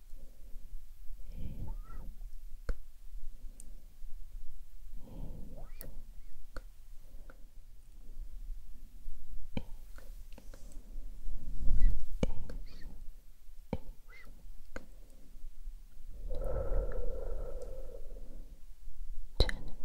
Jennifer, Jennifer, Jennifer,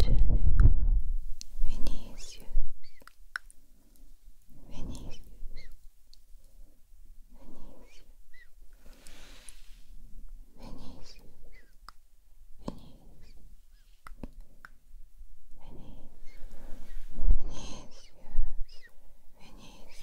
Jennifer Vinicius Vinicius Vinicius Vinicius Vinicius Vinicius Vinicius Vinicius Vinicius Vinicius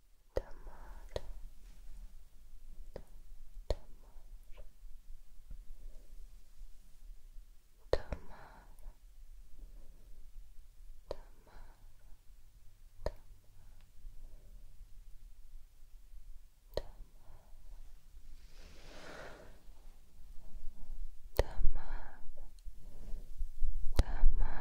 Тамара, Тамара, Тамара, Тамара, Тамара, Тамара, Тамара, Тамара,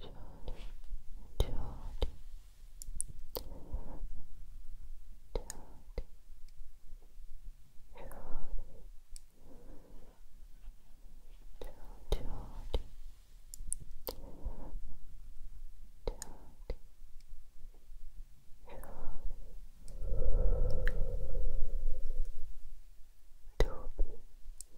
Toby,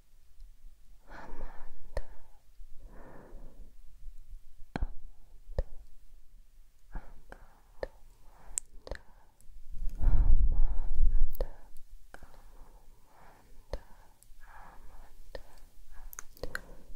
Amanda, Amanda, Amanda, Amanda, Amanda, Amanda, Amanda, Amanda, Amanda. Amanda, Amanda,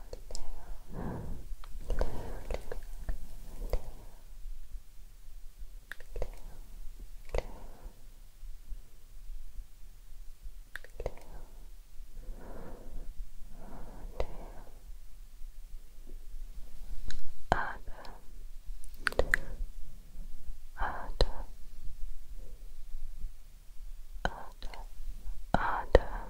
Adam, Adam,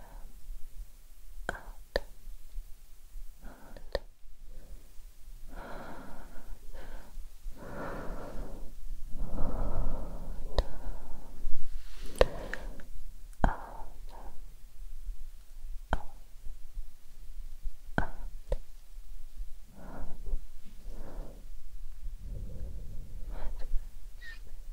out, out, out. Sleep.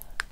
Spike,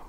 Andy, Andy,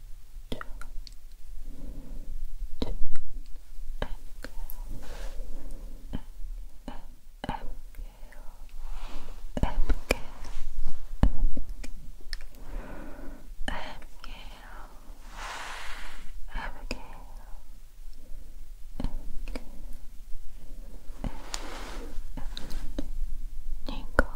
two, two, Abigail, Ab Ab Abigail, Abigail, Abigail, Abigail, Nicole,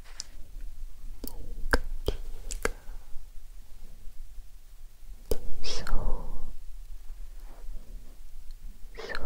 so, so, so, so,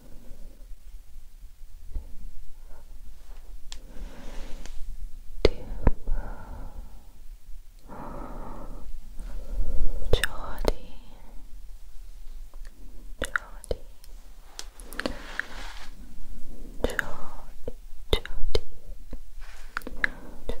Jordy, Jordy, Jordy, Jordy, Jordy, Jordy,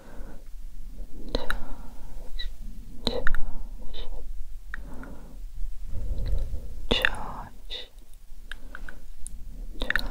George, George, George, George,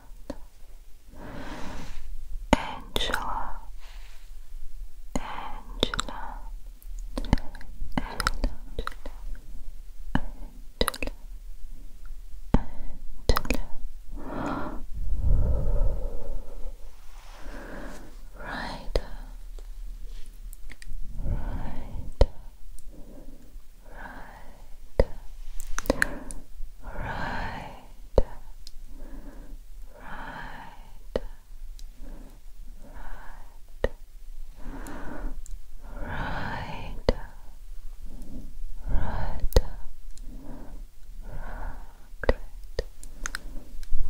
Angela, Angela, Angela, Angela, right, right, right, right right, right, right,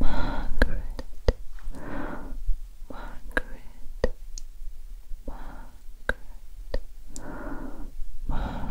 Margaret, Margaret, Margaret, Margaret, Margaret,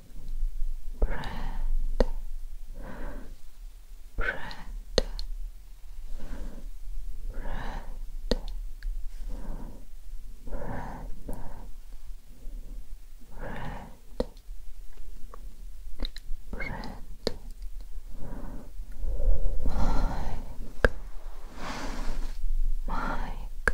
bread, bread, bread, bread, bread. Bread, Mike, Mike,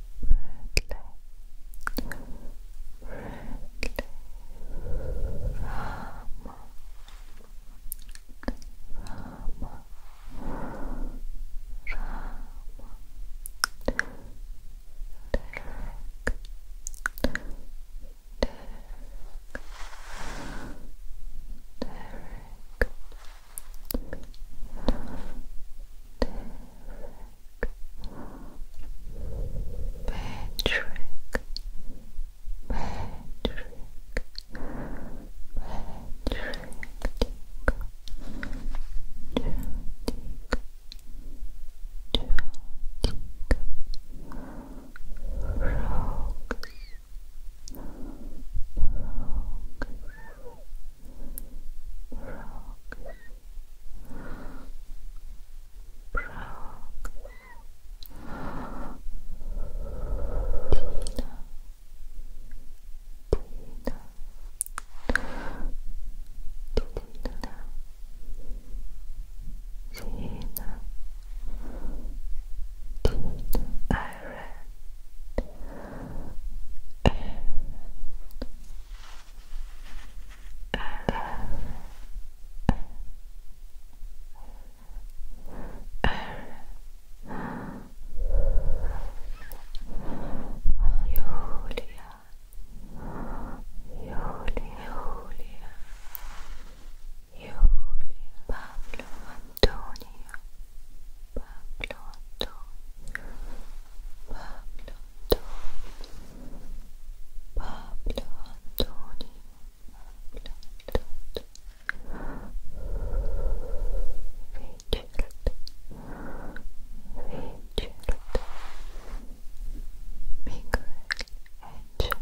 friendly, friendly, Rama, Rama, Rama, Derek, Derek, Derek, Derek, Patrick, Patrick, Patrick, Rogues, rogues, rogues, rogues, rogues frogs, frogs, Tina, Tina, Tina, Tina, Tina, and Julia, Julia, Julia, Pablo, Antonio, Pabloto, Pabloto, Pablo Antonio, Pablo Antonio, Richard, Miguel Angel,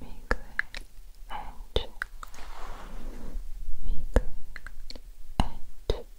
Miguel Angel, Miguel Angel.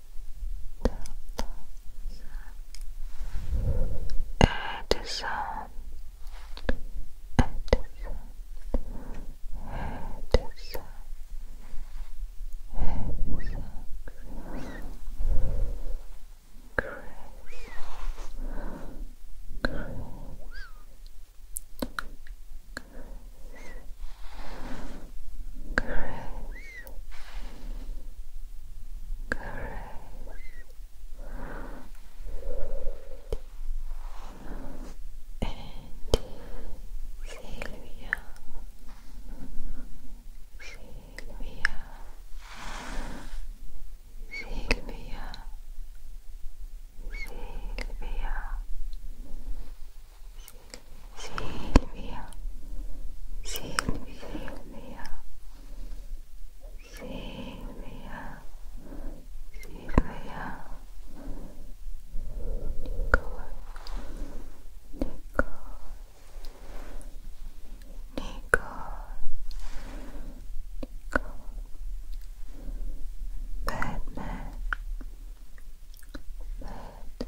Edison, Edison, Edison, Edison, Chris, Chris, Chris, caress and Sylvia Sylvia Sylvia Sylvia Silvia, Silvia, Silvia, Silvia, Nicole, Nicole, Nicole, Nicole, Batman, Batman. Wednesday, Wednesday,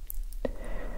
Viola,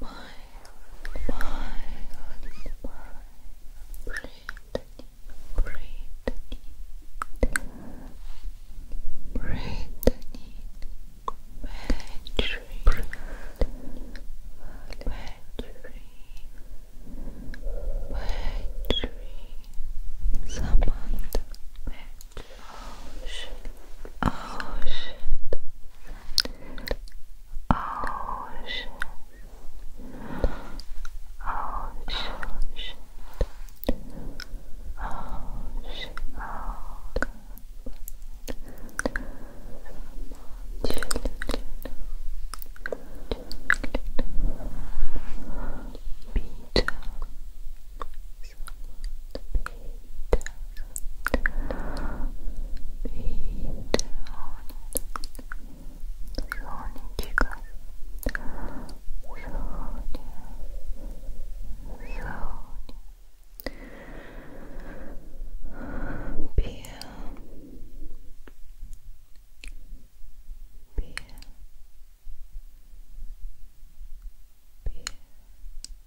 my, my, my, Brittany, Brittany, Brittany, Patrick, Patrick, Patrick, Patrick, Samantha, Patrick shit. Oh shit. Oh shit. Oh shit. Oh shit. Oh Beer. Beer. Beer. Beer. Beer. Beer. Beer. Beer. Beer. Beer. Beer. Beer.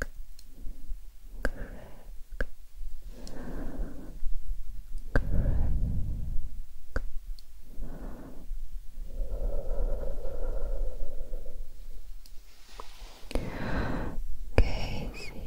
Casey, Casey. Casey.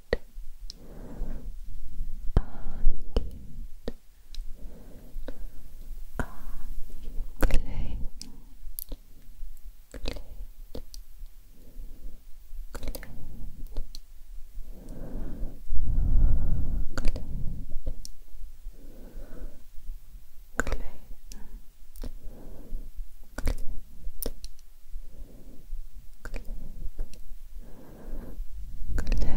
Clayton, Clayton, Clayton, Clayton, Clayton, Clayton, Clayton, clip, clip, clip, clip. Tail, tail,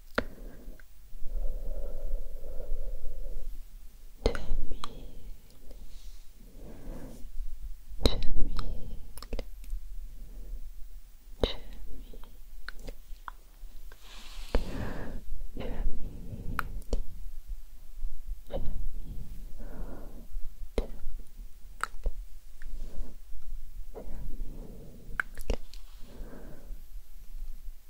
Jamil, Jamil, Jamil, Jamil, Jamil,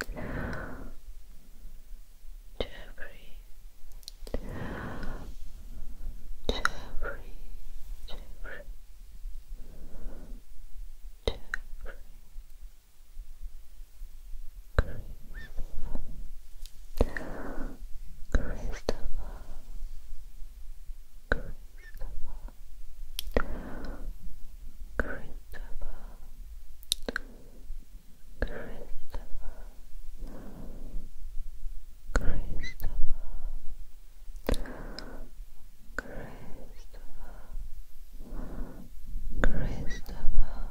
Jeffrey, Jeffrey, Jeffrey, Jeffrey. Christopher, Christopher, Christopher, Christopher, Christopher, Christopher, Christopher. Sabina, Sabina,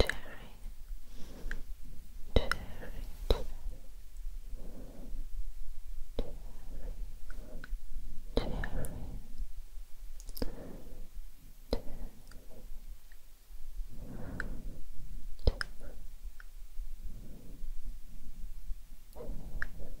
Cherry, cherry, cherry, cherry, cherry. Olive,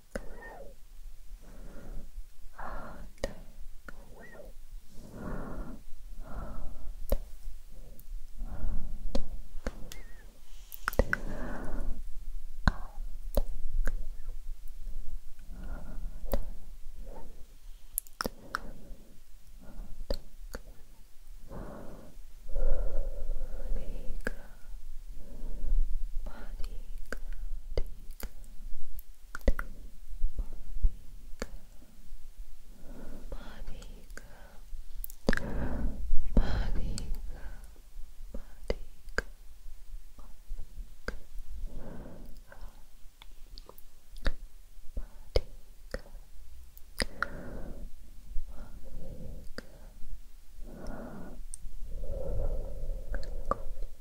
Figure Body cloud, body cloud, body Body, body, body,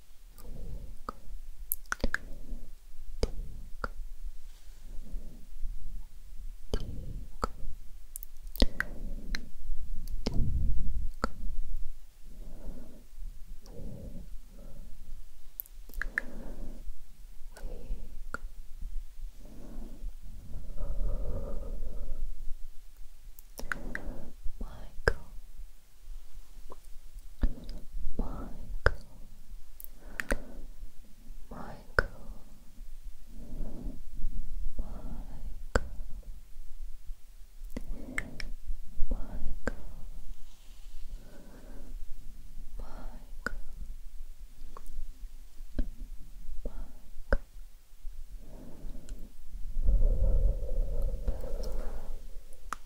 Michael Michael, Michael, Michael, Michael. Michael. Michael. Bella,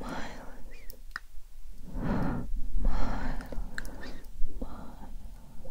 Miles, Miles, Miles. Miles, Miles, Miles,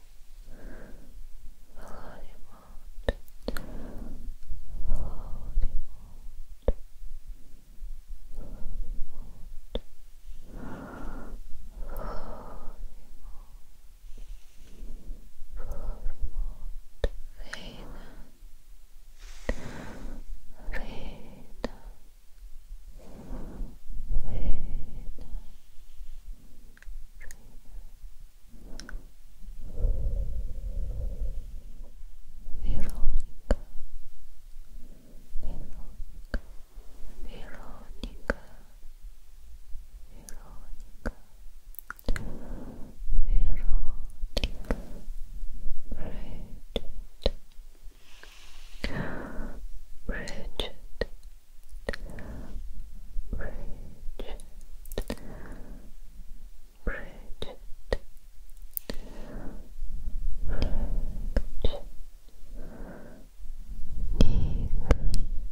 Voldemort, Voldemort, Voldemort, Voldemort, Veda, Veda, Veda, Veda, Veronica Veronica Veronica Veronica Veronica Bridget Bridget Bridget, Bridget, Bridget, Nick, Nick, Deep,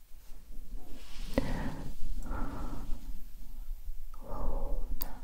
Luna, Luna, Luna, Luna. Luna,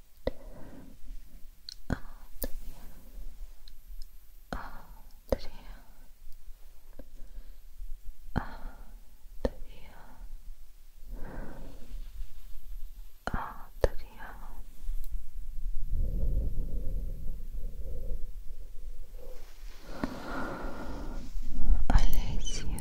all I lace you, I lace you,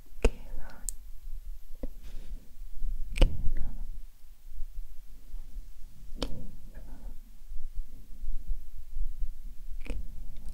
Kieran, Kieran, Kieran, Kieran, Kieran, Kieran,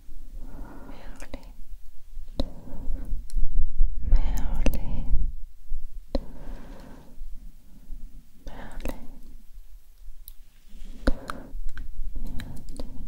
Merlin, Merlin, Merlin, Merlin. Merlin, Merlin,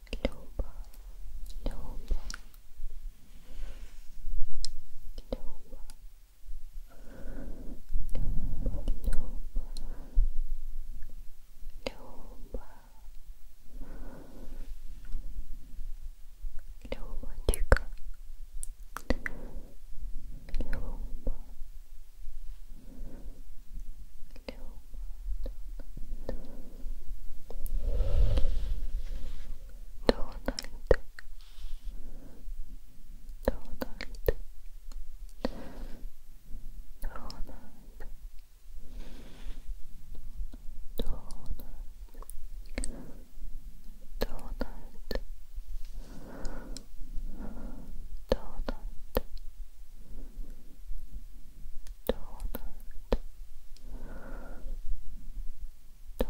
Luba, Luba, Luba, Luba, Luba, Luba, Luba, Donald Donald Donald Donald Donald Donald donut donut donut donut donut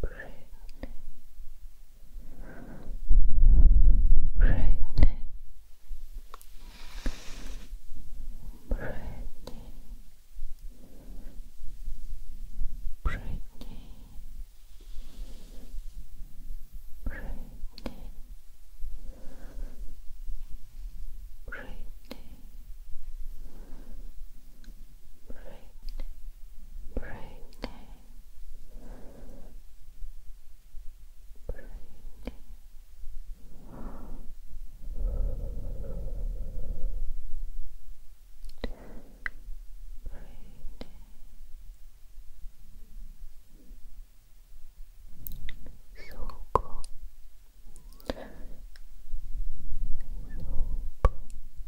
Brittany, Brittany, Brittany, Brittany, Brittany, Brittany. Bright, bright, bright. So cool. So cool.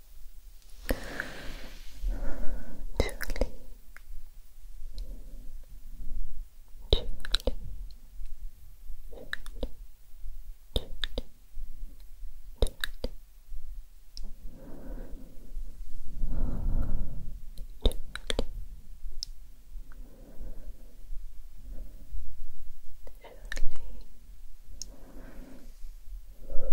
Julie, Julie, Julie, Julie, Julie. Julie. Julie. Samuel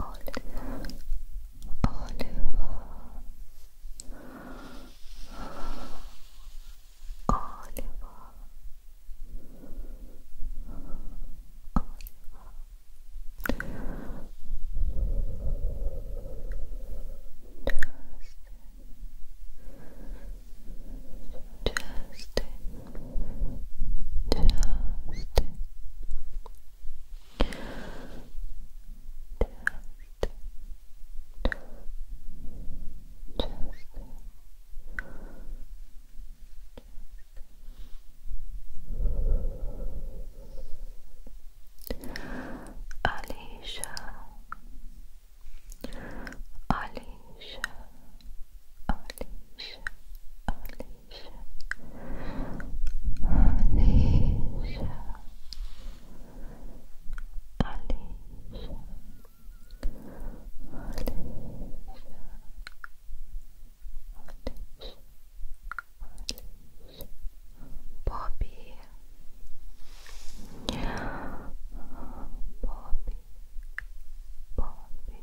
Oliver, Oliver, Oliver, Justin, Justin, Justin, Alicia, Alicia, Alicia, Alicia. Alicia, Alicia, Alicia, Alicia, Bobby, Bobby, Bobby, Bobby,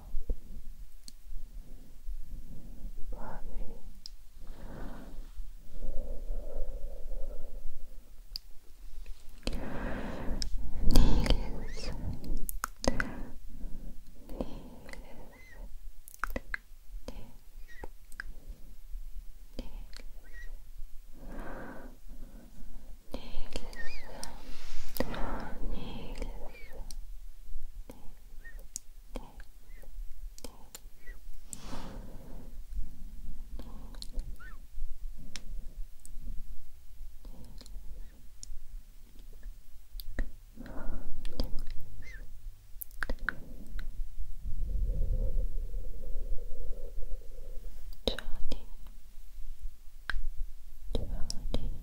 Bobby. Niels. Nils, Nils, Nils, Nils, Nils, Johnny, Johnny,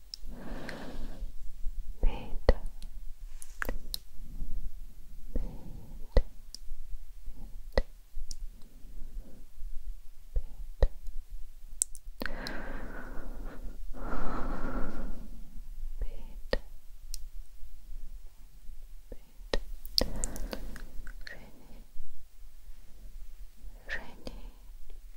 beta, beta, beta. Jenny, Jenny,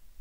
Olaf,